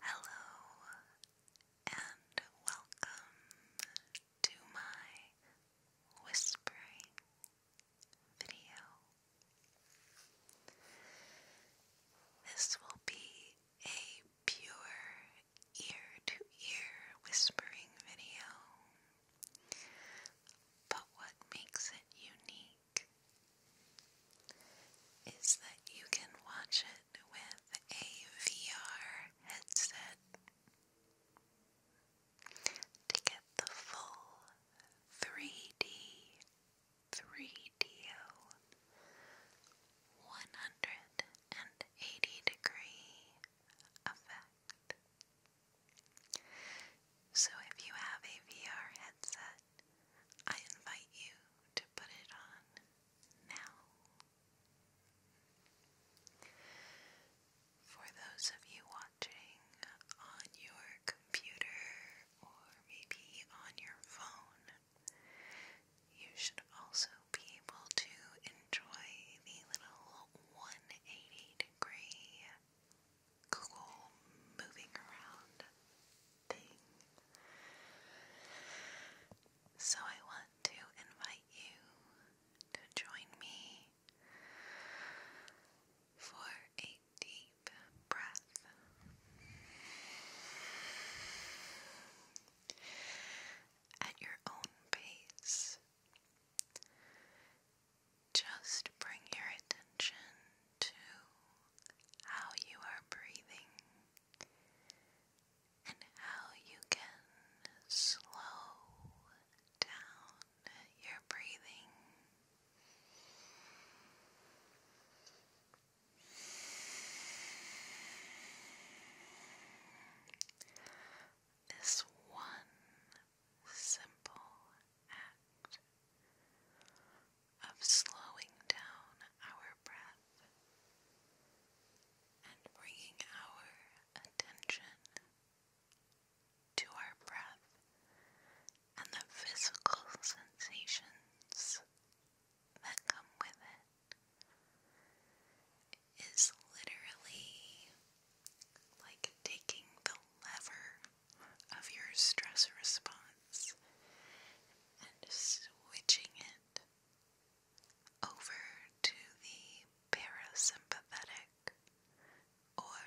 Hello and welcome to my whispering video. This will be a pure ear to ear whispering video. But what makes it unique? is that you can watch it with a VR headset to get the full 3D 3DO 180 degree effect. So if you have a VR headset, I invite you to put it on now. For those of you watching on your computer or maybe on your phone, you should also be able to enjoy the little 180 degree cool moving around thing. So I want to invite you to join me for a deep breath. At your own pace, just bring your attention to how you are breathing and how you can slow down your breathing. This one simple act of slowing down our breath and bringing our attention to our breath and the physical sensations that come with it is literally like taking the lever of your stress response and switching it over to the parasympathetic or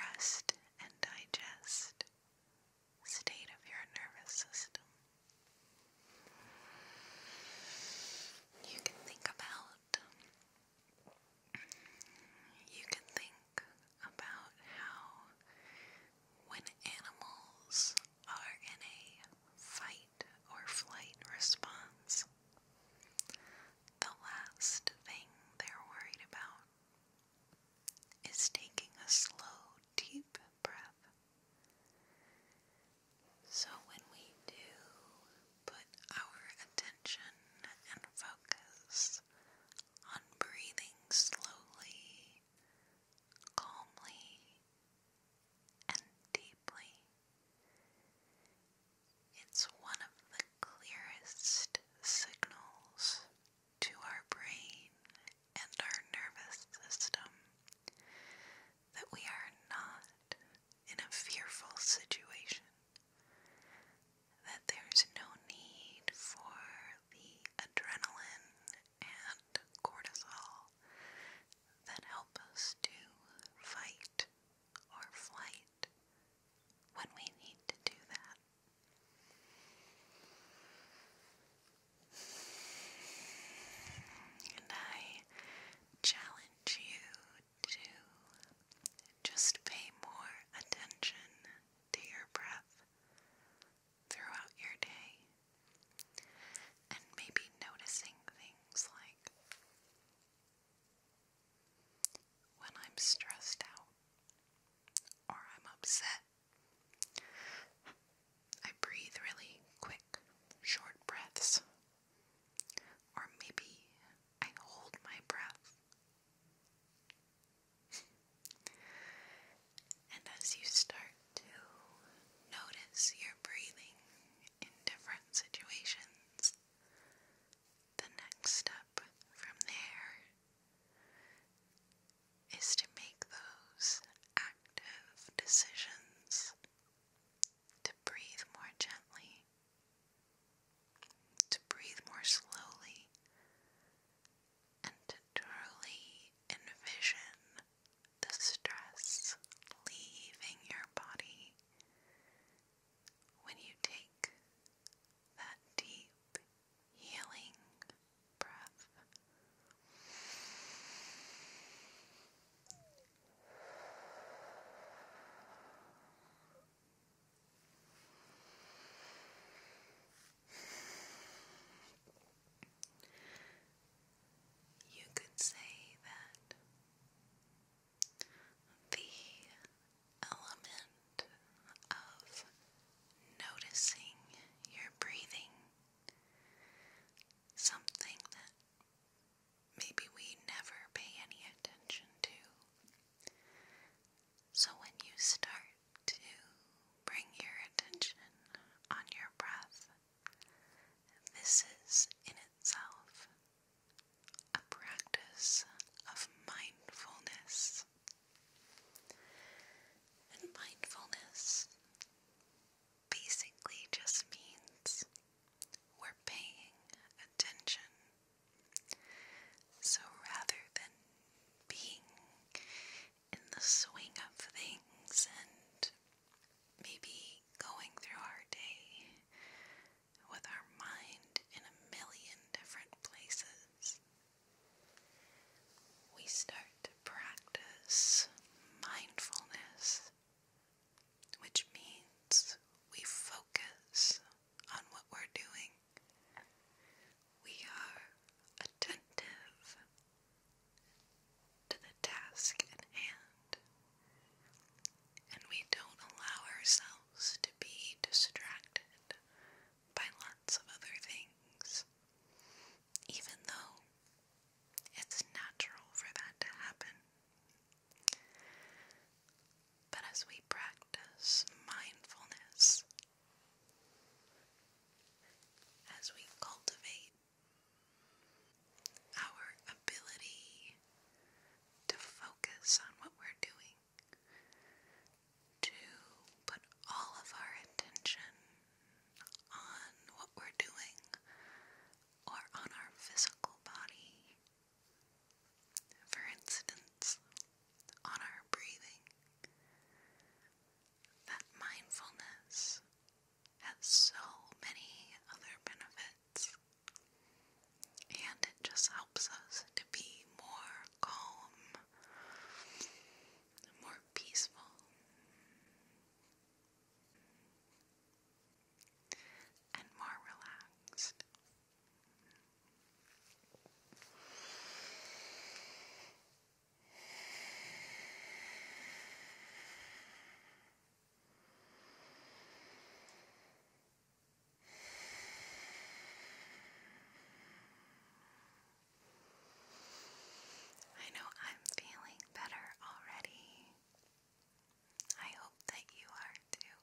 rest and digest state of your nervous system. You can think about, you can think about how when animals are in a fight or flight response, the last thing they're worried about is taking a slow, deep breath. So, when we do put our attention and focus on breathing slowly, calmly, and deeply. It's one of the clearest signals to our brain and our nervous system that we are not in a fearful situation, that there's no need for the adrenaline and cortisol that help us to fight or flight when we need to do that. And I challenge you to just pay more attention to your breath throughout your day. And maybe noticing things like when I'm stressed out or I'm upset, I breathe really quick, short breaths. Or maybe I hold my breath and as you start to notice your breathing in different situations, the next step from there is to make those active decisions to breathe more gently, to breathe more slowly, and truly envision the stress leaving your body when you take that deep healing breath. You could say that the element of noticing your breathing, something that maybe we never pay any attention to, so, when you start to bring your attention on your breath, this is in itself a practice of mindfulness. And mindfulness basically just means we're paying attention so rather than being in the swing of things and maybe going through our day with our mind in a million different places, we start to practice mindfulness, which means we focus on what we're doing. We are attentive to the task at hand, and we don't allow ourselves to be distracted by lots of other things, even though it's natural for that to happen. But as we practice mindfulness as we cultivate our ability to focus on what we're doing, to put all of our attention on what we're doing or on our physical body. For instance, on our breathing. That mindfulness has so many other benefits, and it just helps us to be more calm, more peaceful. And more relaxed. I know I'm feeling better already. I hope that you are too.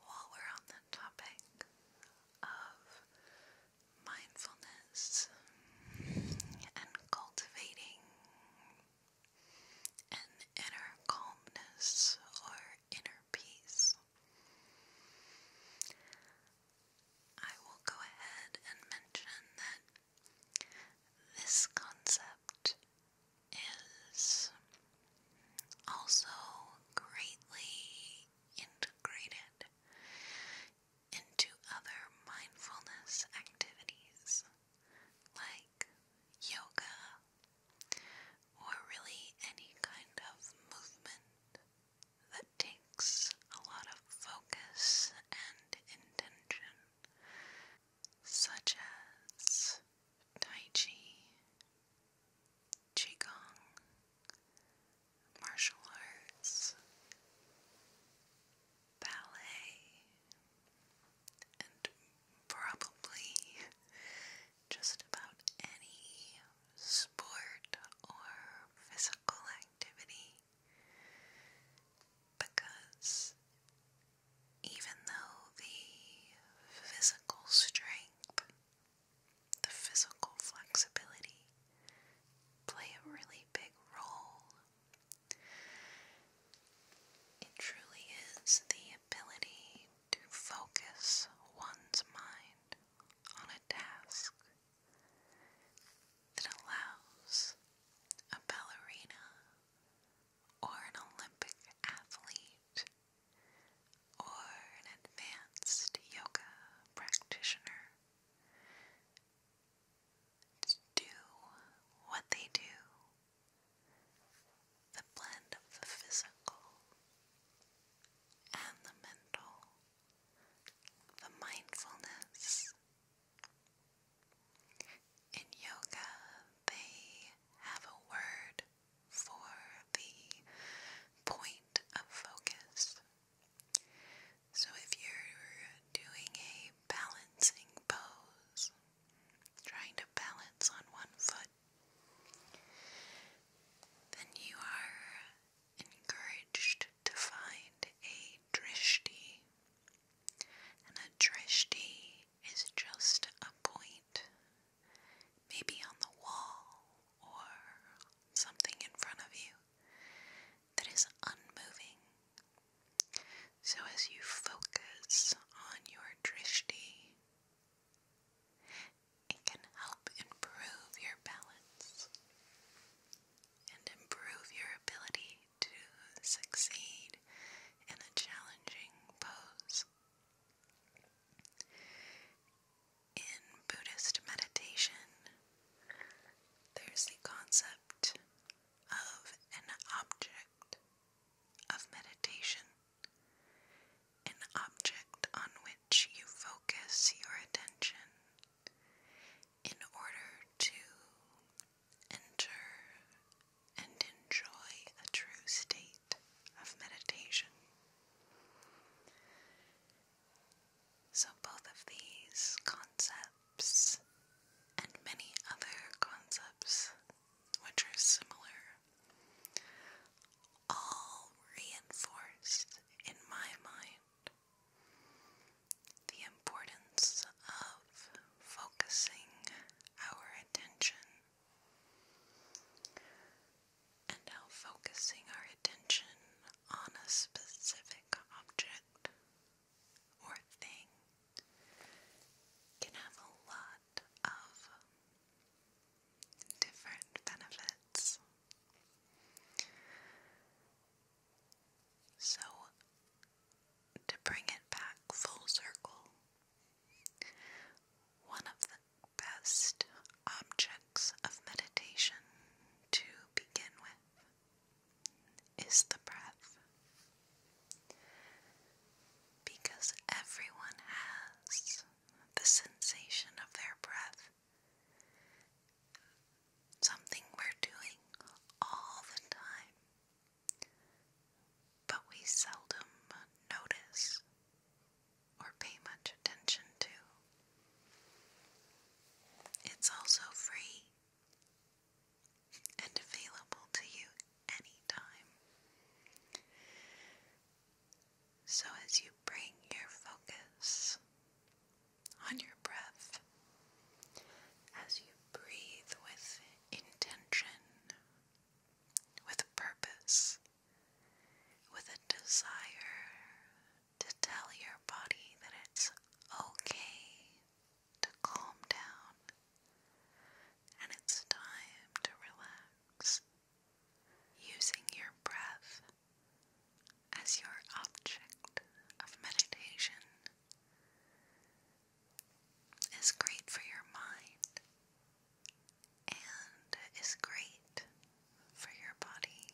While we're on the topic of mindfulness and cultivating an inner calmness or inner peace, I will go ahead and mention that this concept is also greatly integrated into other mindfulness activities like yoga or really any kind of movement that takes a lot of focus and intention, such as Tai Chi, Qigong, martial arts, ballet, and probably just about any sport or physical activity because even though the physical strength, the physical flexibility play a really big role, it truly is the ability to focus one's mind on a task that allows a ballerina or an Olympic athlete or an advanced yoga practitioner do what they do. The blend of the physical and the mental, the mindfulness. In yoga, they have a word for the point of focus. So if you're doing a balancing pose, trying to balance on one foot, then you are encouraged to find a drishti. And a drishti is just a point, maybe on the wall or something in front of you, that is unmoving. So as you focus on your drishti, it can help improve your balance and improve your ability to succeed in a challenging pose. In Buddhist meditation, there's the concept of an object of meditation, an object on which you focus your attention in order to Enter and enjoy a true state of meditation. So, both of these concepts and many other concepts which are similar all reinforced in my mind the importance of focusing our attention and how focusing our attention on a specific object or thing can have a lot of different benefits. So, to bring it back full circle. One of the best objects of meditation to begin with is the breath. Because everyone has the sensation of their breath, something we're doing all the time but we seldom notice or pay much attention to. It's also free and available to you anytime. So, as you bring your focus on your breath, as you breathe with intention with a purpose, with a desire to tell your body that it's okay to calm down and it's time to relax, using your breath as your object of meditation is great for your mind and is great for your body.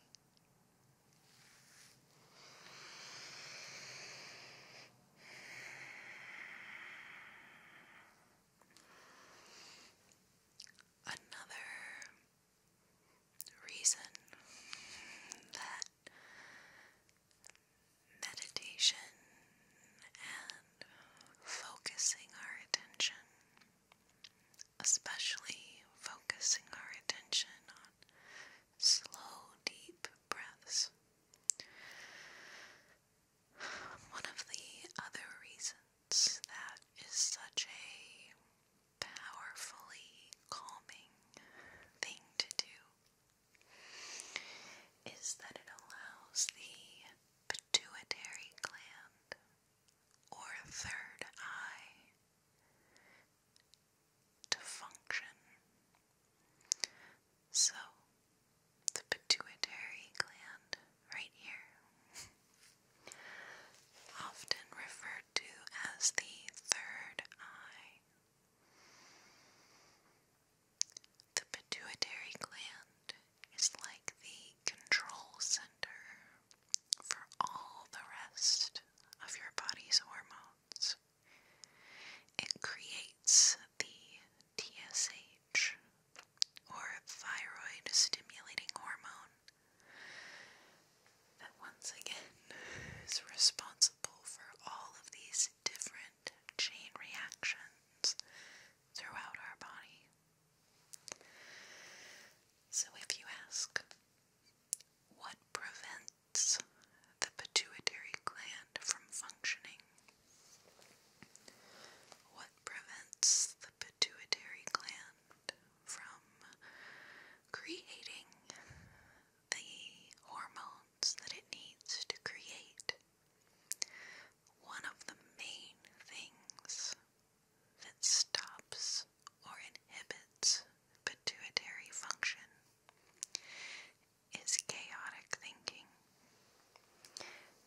Another reason that meditation and focusing our attention, especially focusing our attention on slow, deep breaths. One of the other reasons that is such a powerfully calming thing to do is that it allows the pituitary gland or third eye to function. So, the pituitary gland right here, often referred to as the third eye, the pituitary gland is like the control center for all the rest of your body's hormones. It creates the TSH or thyroid stimulating hormone that once again is responsible for all of these different chain reactions throughout our body. So, if you ask, what prevents the pituitary gland from functioning? What prevents the pituitary gland from creating the hormones that it needs to create one of the main things that stops or inhibits pituitary function is chaotic thinking,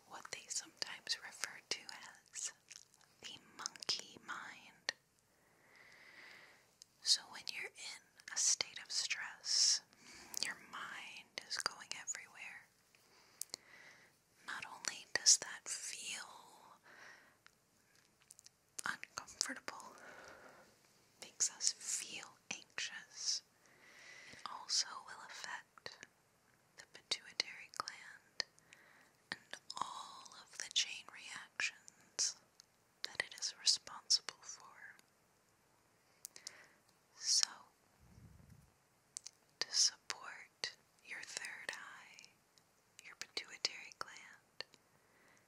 what they sometimes refer to as the monkey mind. So, when you're in a state of stress. Your mind is going everywhere. Not only does that feel uncomfortable, makes us feel anxious, it also will affect the pituitary gland and all of the chain reactions that it is responsible for. So, to support your third eye, your pituitary gland,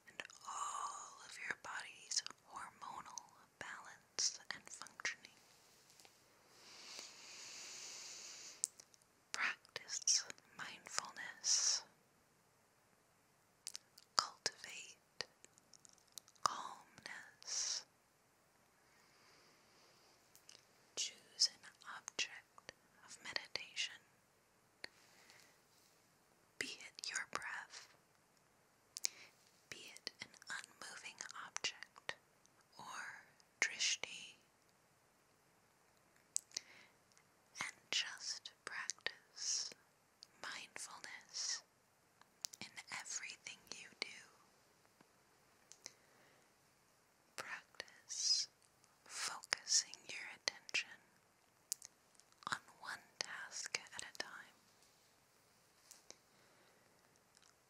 and all of your body's hormonal balance and functioning, practice mindfulness cultivate calmness. Choose an object of meditation, be it your breath, be it an unmoving object or drishti, and just practice mindfulness in everything you do. Practice focusing your attention on one task at a time,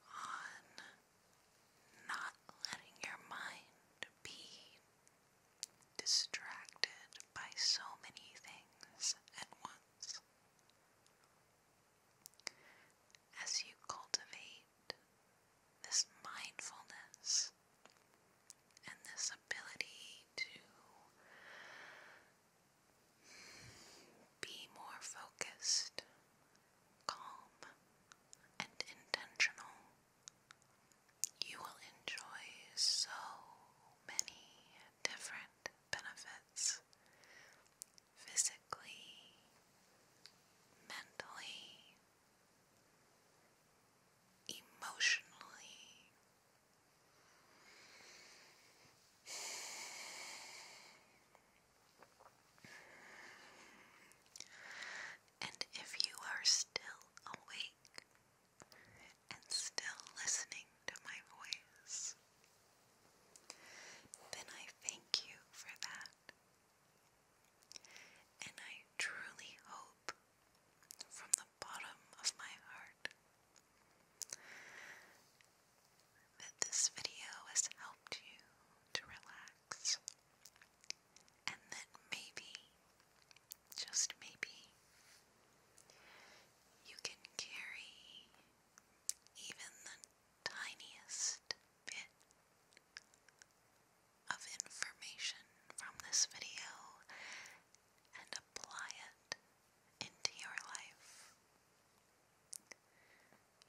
on not letting your mind be distracted by so many things at once. As you cultivate this mindfulness and this ability to be more focused, calm, and intentional, you will enjoy so many different benefits physically, mentally, emotionally. And if you are still awake and still listening to my voice, then I thank you for that. And I truly hope from the bottom of my heart that this video has helped you to relax and that maybe, just maybe, you can carry even the tiniest bit of information from this video and apply it into your life.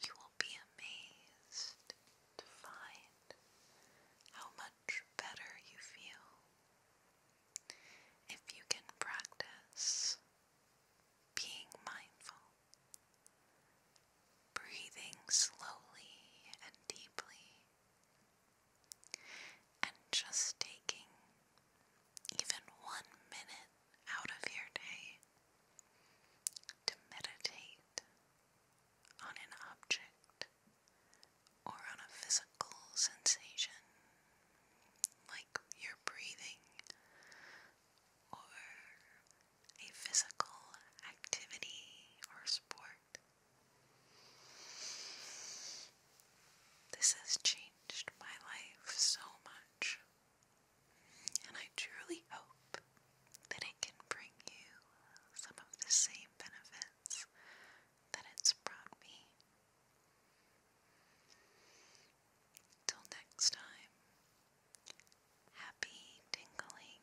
You will be amazed to find how much better you feel if you can practice being mindful, breathing slowly and deeply, and just taking even one minute out of your day to meditate on an object or on a physical sensation like your breathing or a physical activity or sport. This has changed my life so much, and I truly hope that it can bring you some of the same benefits that it's brought me. Till next time, happy tingling,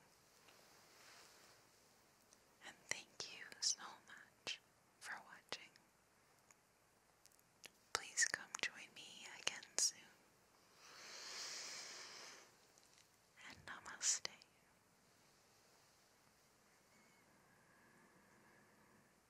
and thank you so much for watching. Please come join me again soon. And namaste.